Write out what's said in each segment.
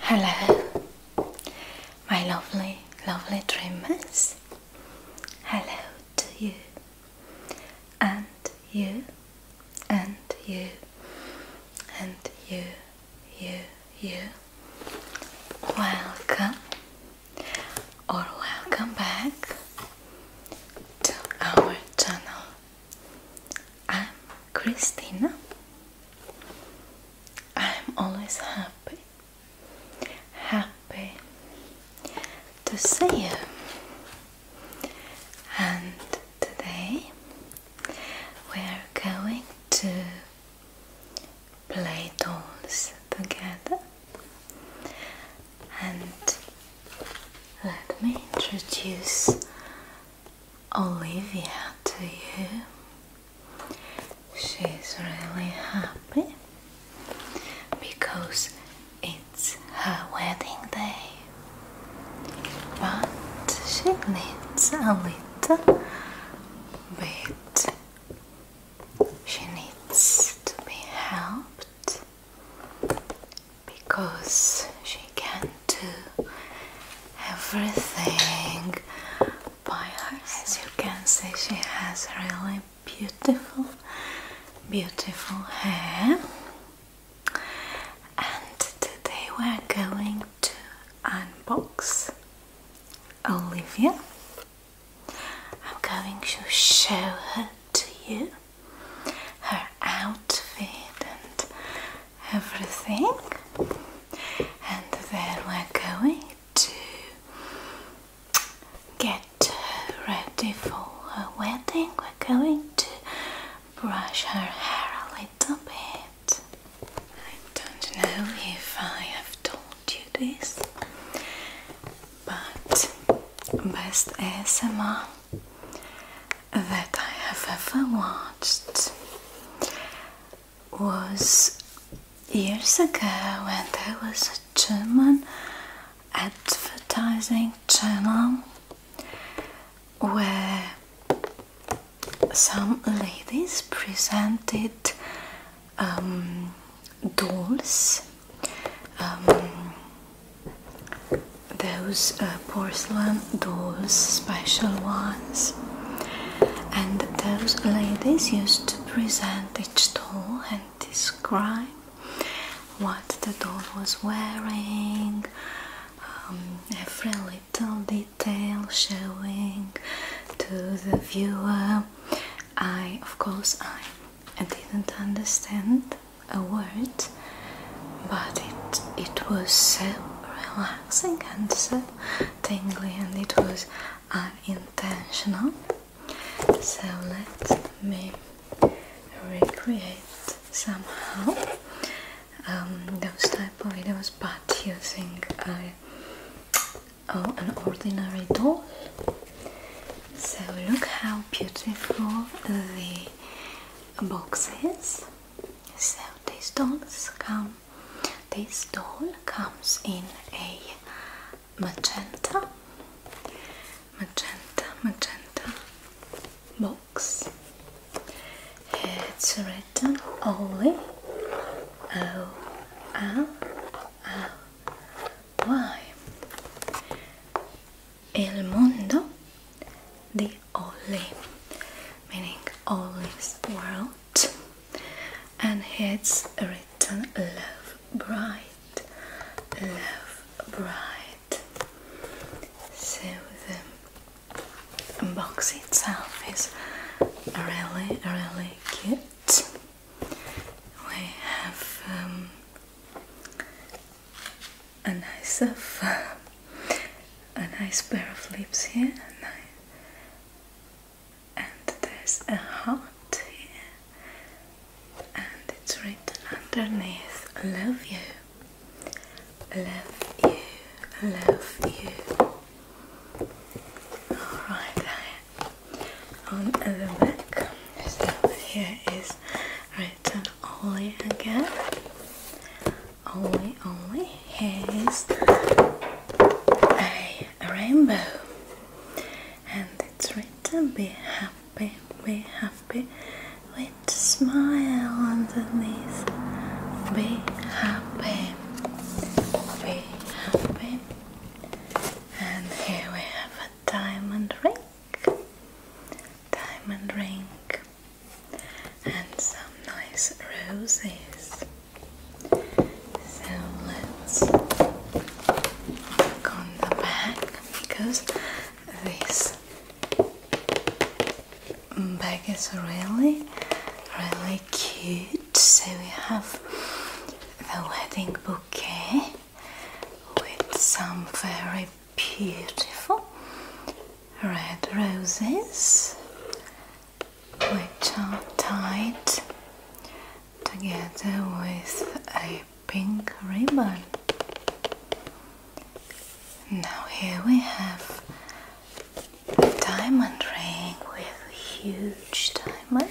Hello, my lovely, lovely dreamers. Hello to you, and you, and you, and you, you, you. Welcome or welcome back to our channel. I'm Christina. I'm always happy, happy to see you. And today we're going to play dolls together. And let me introduce Olivia to you. She's really happy because it's her wedding day. But she needs a little bit. She needs to be helped because she can do everything by herself. As you can see, she has really beautiful, beautiful hair. And today we're going to unbox Olivia. I'm going to show her to you her outfit and everything, and then we're going to get ready for a wedding. We're going to brush her hair a little bit. I don't know if I have told you this, but best ASMR that I have ever watched was years ago when there was a German advertising channel where some ladies presented um, dolls, um, those porcelain those special ones. And those ladies used to present each doll and describe what the doll was wearing, um, every little detail showing to the viewer. I, of course, I didn't understand a word, but it it was so relaxing and so tingly and it was unintentional. So let me recreate somehow um, those type of videos but using a, oh, an ordinary doll. So look how beautiful the box is. So these dolls come this doll comes in a magenta, magenta, magenta box. It's written Oli, O L L Y. El mundo di only, meaning only world, and it's written love bright, love bright. So the box itself is really, really cute. We have um, a nice of, a nice pair of lips here and there's a heart here and it's written underneath love you love you love you Alright, on the back, this so here is written Oli again, only only has a rainbow and it's written be happy be happy with smile underneath be happy be happy and here we have a diamond ring diamond ring and some nice roses. So let's look the back because this bag is really, really cute. So we have the wedding bouquet with some very beautiful red roses which are tied together with a pink ribbon. Now, here we have a diamond ring with a huge diamond.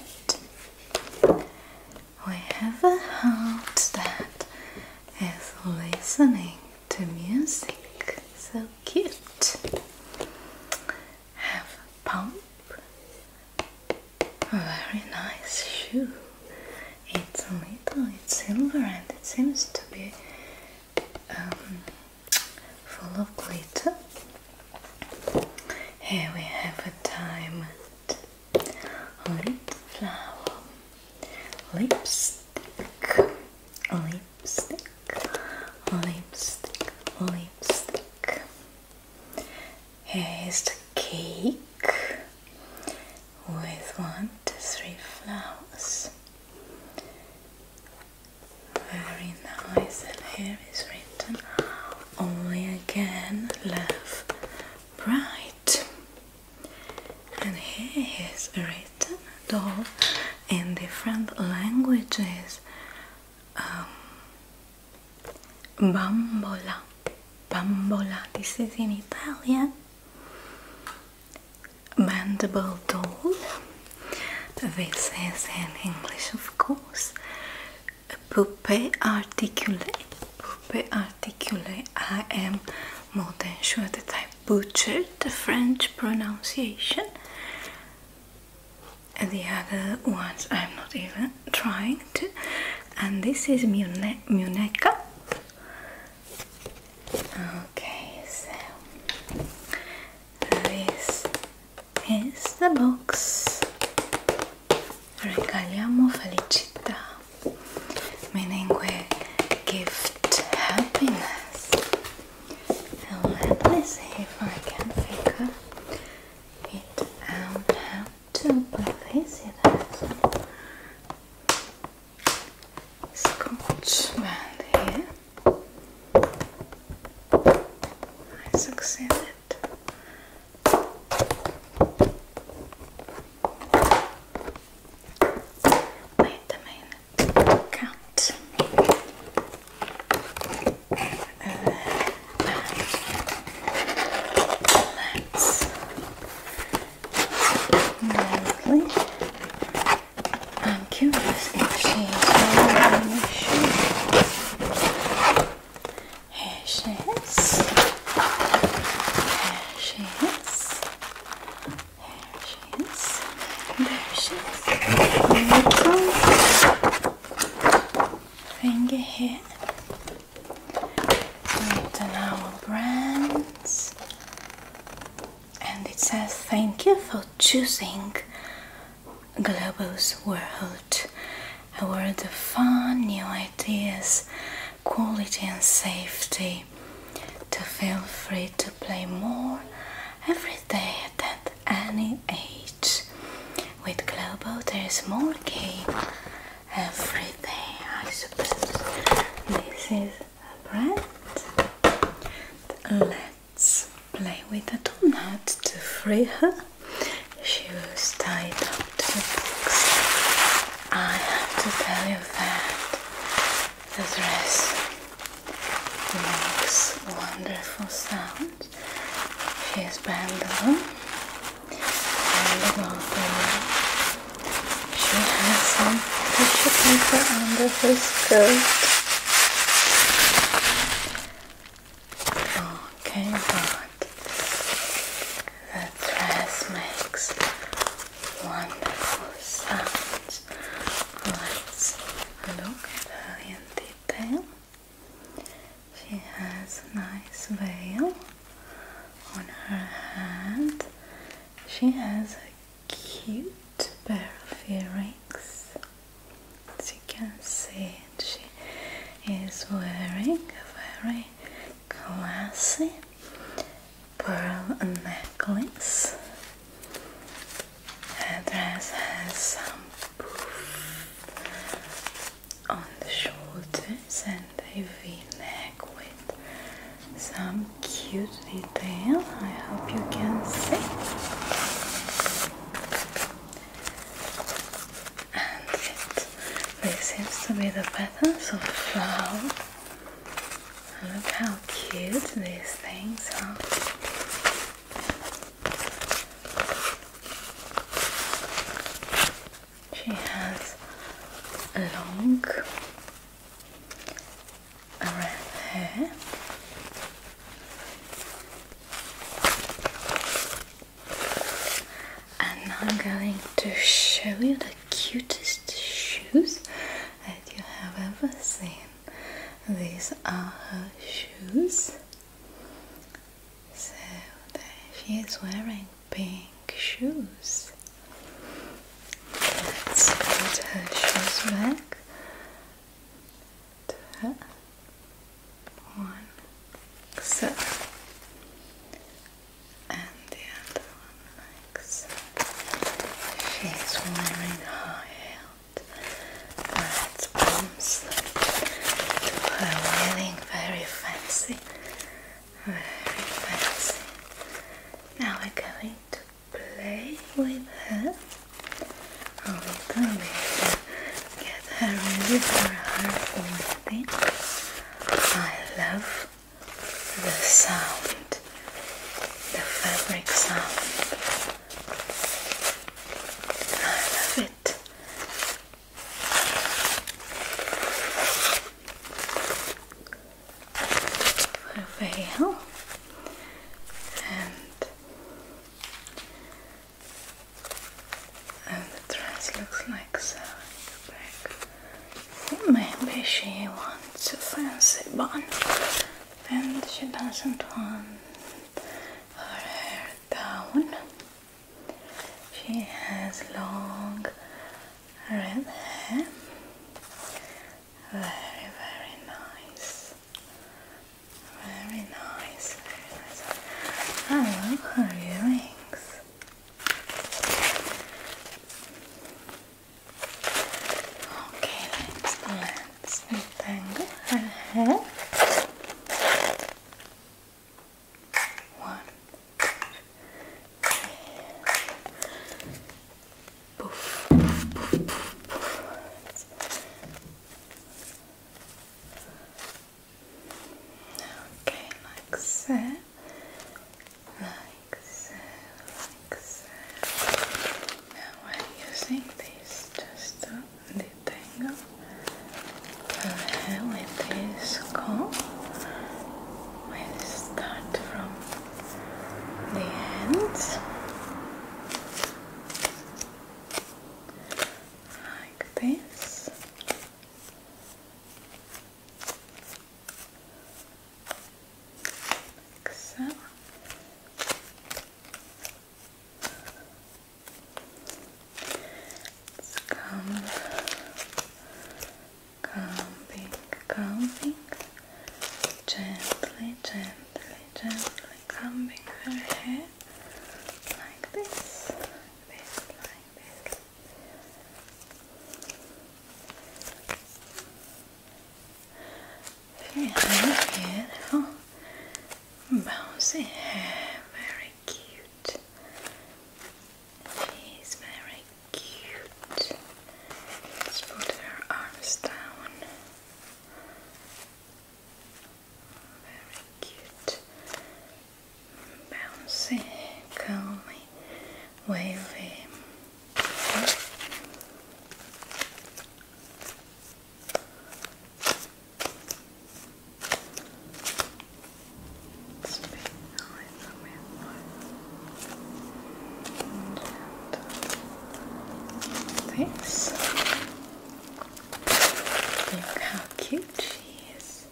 We have a heart that is listening to music, so Cute. Have pump. A very nice shoe. It's a little, it's silver and it seems to be um, full of glitter. Here we have a diamond, a little flower, lipstick, lipstick, lipstick, lipstick. Here is a cake with one to three flowers. Very nice, and here is written only again love bright. And here is a doll in different languages. Um, bambola, bambola. This is in Italian. Mandible doll. This is in English, of course. Puppe articule, puppe articule. I am more than sure that I butchered the French pronunciation the other ones I'm not even trying to. And this is Mune Muneca. Okay, so this is the box. Regaliamo felicità, meaning we gift happiness. Now let me see if I can figure it out how to place it scotch band here. I succeeded. Wait a count. let's I'm curious if she's she is. she is. There she is. There she is. finger here. Written our brands. And it says thank you for choosing Globus World. A world of fun, new ideas, quality and safety. To feel free to play more every day at any age. With global there's more game every day, I suppose. This is a brand. Let's play with a donut to free her. She was tied up to the box. I have to tell you that the dress makes wonderful sounds. She is bamboo and She has some tissue paper under her skirt. Okay, but the dress makes wonderful sounds. let look at her in detail. She has a nice veil on her hand. She has a cute pair of earrings. As you can see, she is wearing a very classy pearl necklace her dress has some poof on the shoulders and a v-neck with some cute detail. I hope you can see. And it, this seems to be the petals of flower Look how cute these things are. She has long red hair. And I'm going to show you the cutest shoes that you have ever seen. These are her shoes. So there she is wearing pink shoes. Let's put her shoes back. one, so, and the other one like so. wearing high that comes to her wearing very fancy, very fancy. Now we're going to play with her a little bit, get her ready for her meeting. I love the sound, the fabric sound I love it. For a and and the dress looks like so Maybe she wants a fancy bun and she doesn't want her hair down. She has long red hair. Very, very nice. Very nice. Very nice. I love her earrings. Okay, let's let's untangle One, two, three. Okay, like so, like so, now I'm using this just to detangle with this comb. we start from the ends. Like this. Like so. Come, combing, combing, gently, gently, gently combing her hair like this, like this, like this. Very beautiful. bouncing. very cute. She's very cute. let put her arms down. Very cute. Bouncy, curly, wavy. And this. Look how cute she is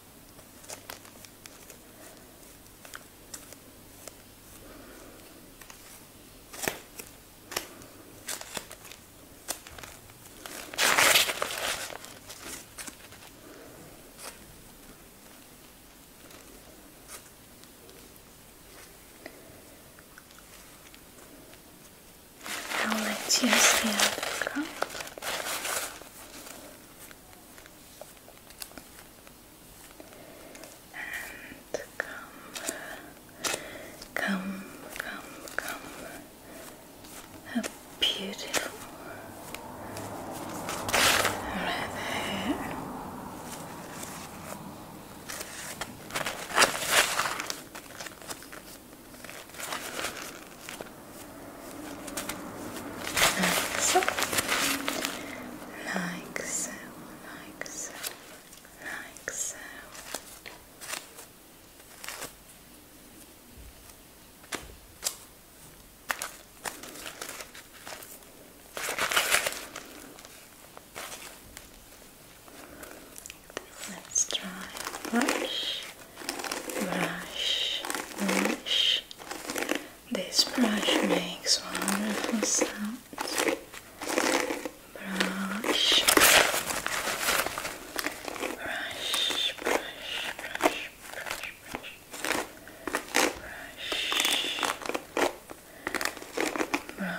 i Now let's use the other cup. And come, come, come, A beautiful right like so. Like so. Like so. Like so. Let's try brush brush, brush. This brush makes wonderful sounds. Brush, brush, brush, brush, brush, brush. Brush, brush.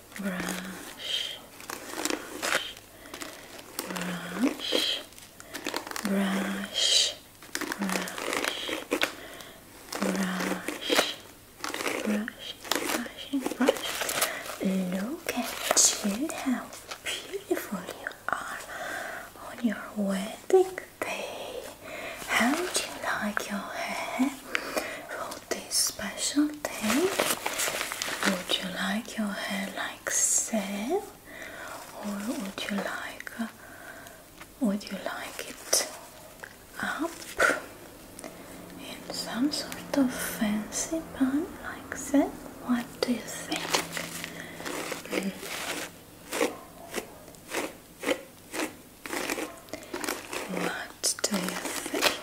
brush, brush, brush, brush, brush, brush, brushing, brush. Look at you how beautiful you are on your wedding day. How do you like your hair? this special day. Would you like your hair like so, or would you like uh, would you like it up in some sort of fancy bun like that? What do you think? What do you think?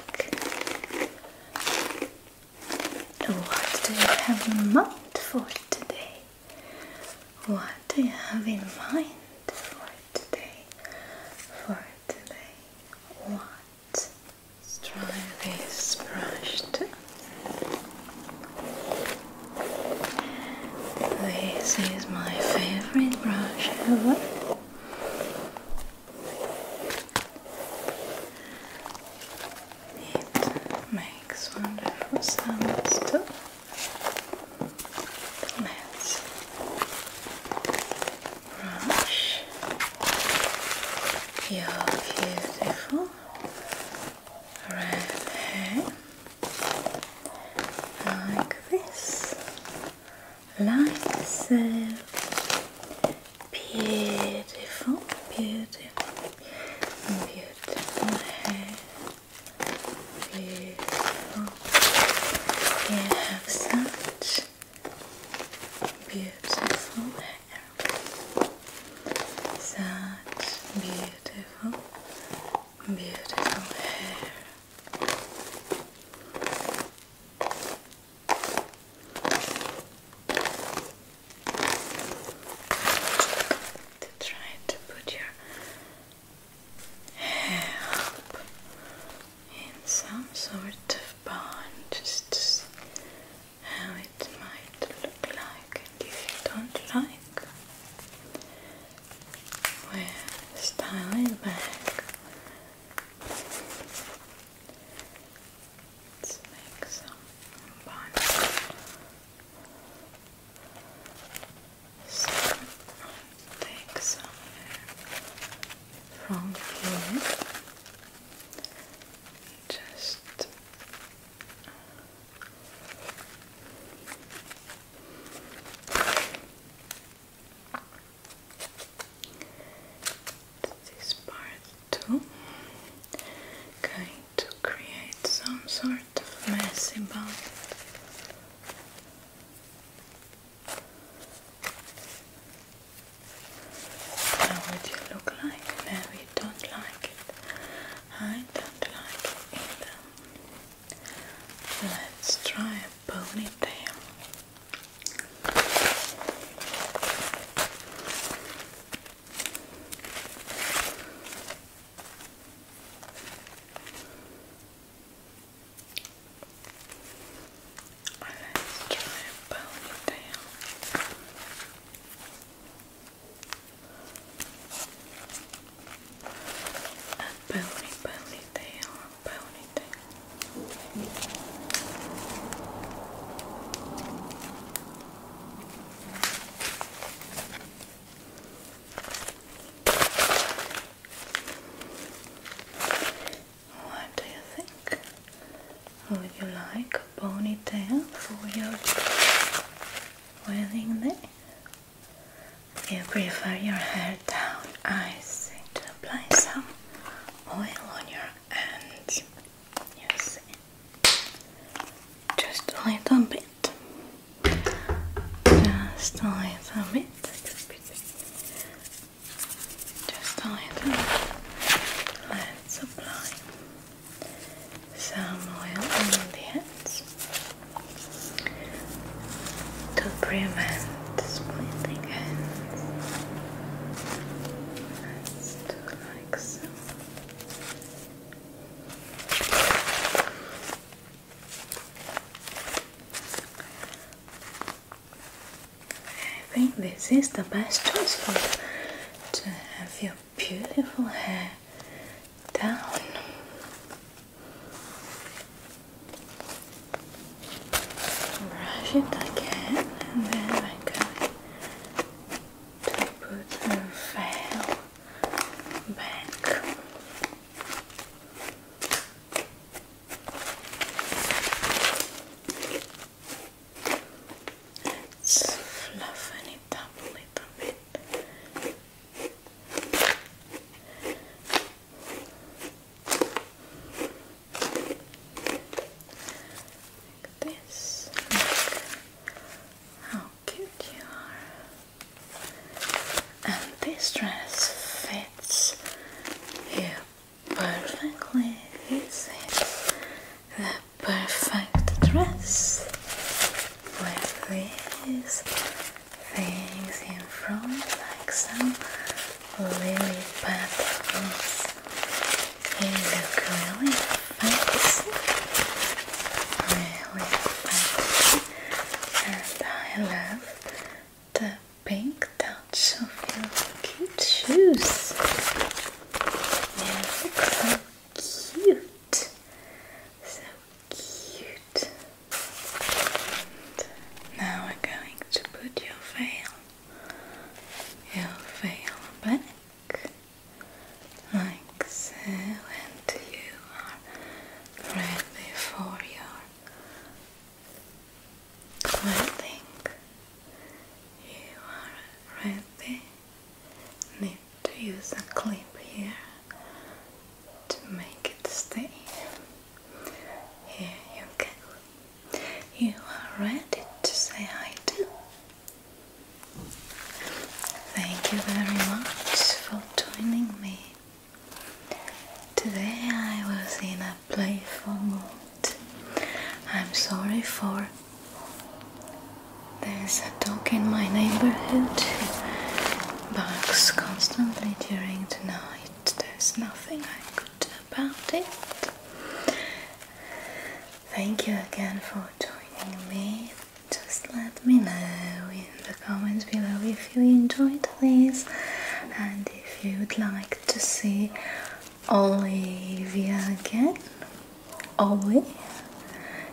What do you have in mind for today? What do you have in mind for today? For today, what? Let's try this brush. This is my favorite brush ever. It makes wonderful sounds too. Let's brush your beautiful red hair like this, like so. Beautiful, beautiful, beautiful hair. Beautiful. You have such beautiful hair. Such beautiful, beautiful hair to try to put your hair up in some sort of bond just to see how it might look like and if you don't like well style it back Let's make some bun. So take some from here. Just this part too, Going to create some sort of messy ball. How would you look like? No, don't like it. I don't like it either. Let's try a ponytail. Let's try a ponytail. A pony, ponytail, ponytail. What do you think? Would you like a ponytail for your wedding day? You prefer your hair down. I see to apply some oil on your hands. Yes. Just a little bit. Just a little bit. Just a little bit. Let's apply some oil on the hands to prevent splitting hands. I think this is the best choice for you to have your beautiful hair down brush it again and then I'm going to put the veil back. Let's fluffen it up a little bit. Like this. how cute you are. And this dress fits you perfectly. This is the perfect dress with these things in from like some lily petals. They look really fancy. Really fancy. And I love the pink touch of your cute shoes. They look so cute. So cute. now we're going to put your veil your veil back like so and you are ready for your clothing you are ready need to use a clip here to make it stay here you go you are ready to say hi do. Thank you very much for joining me. Today I was in a playful mood. I'm sorry for there's a dog in my neighborhood who barks constantly during the night. There's nothing I could about it. Thank you again for joining me. Just let me know in the comments below if you enjoyed this and if you would like to see Olivia again, Ollie,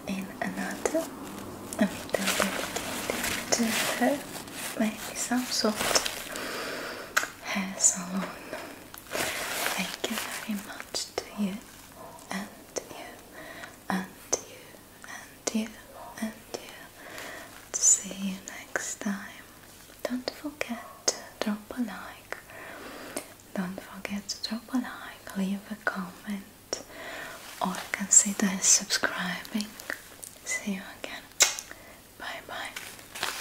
in another video dedicated to her, maybe some sort of hair salon Thank you very much to you and you and you and you and you. See you next time. Don't forget to drop a like. Don't forget to drop a like, leave a comment, or consider subscribing. See you again. Bye bye.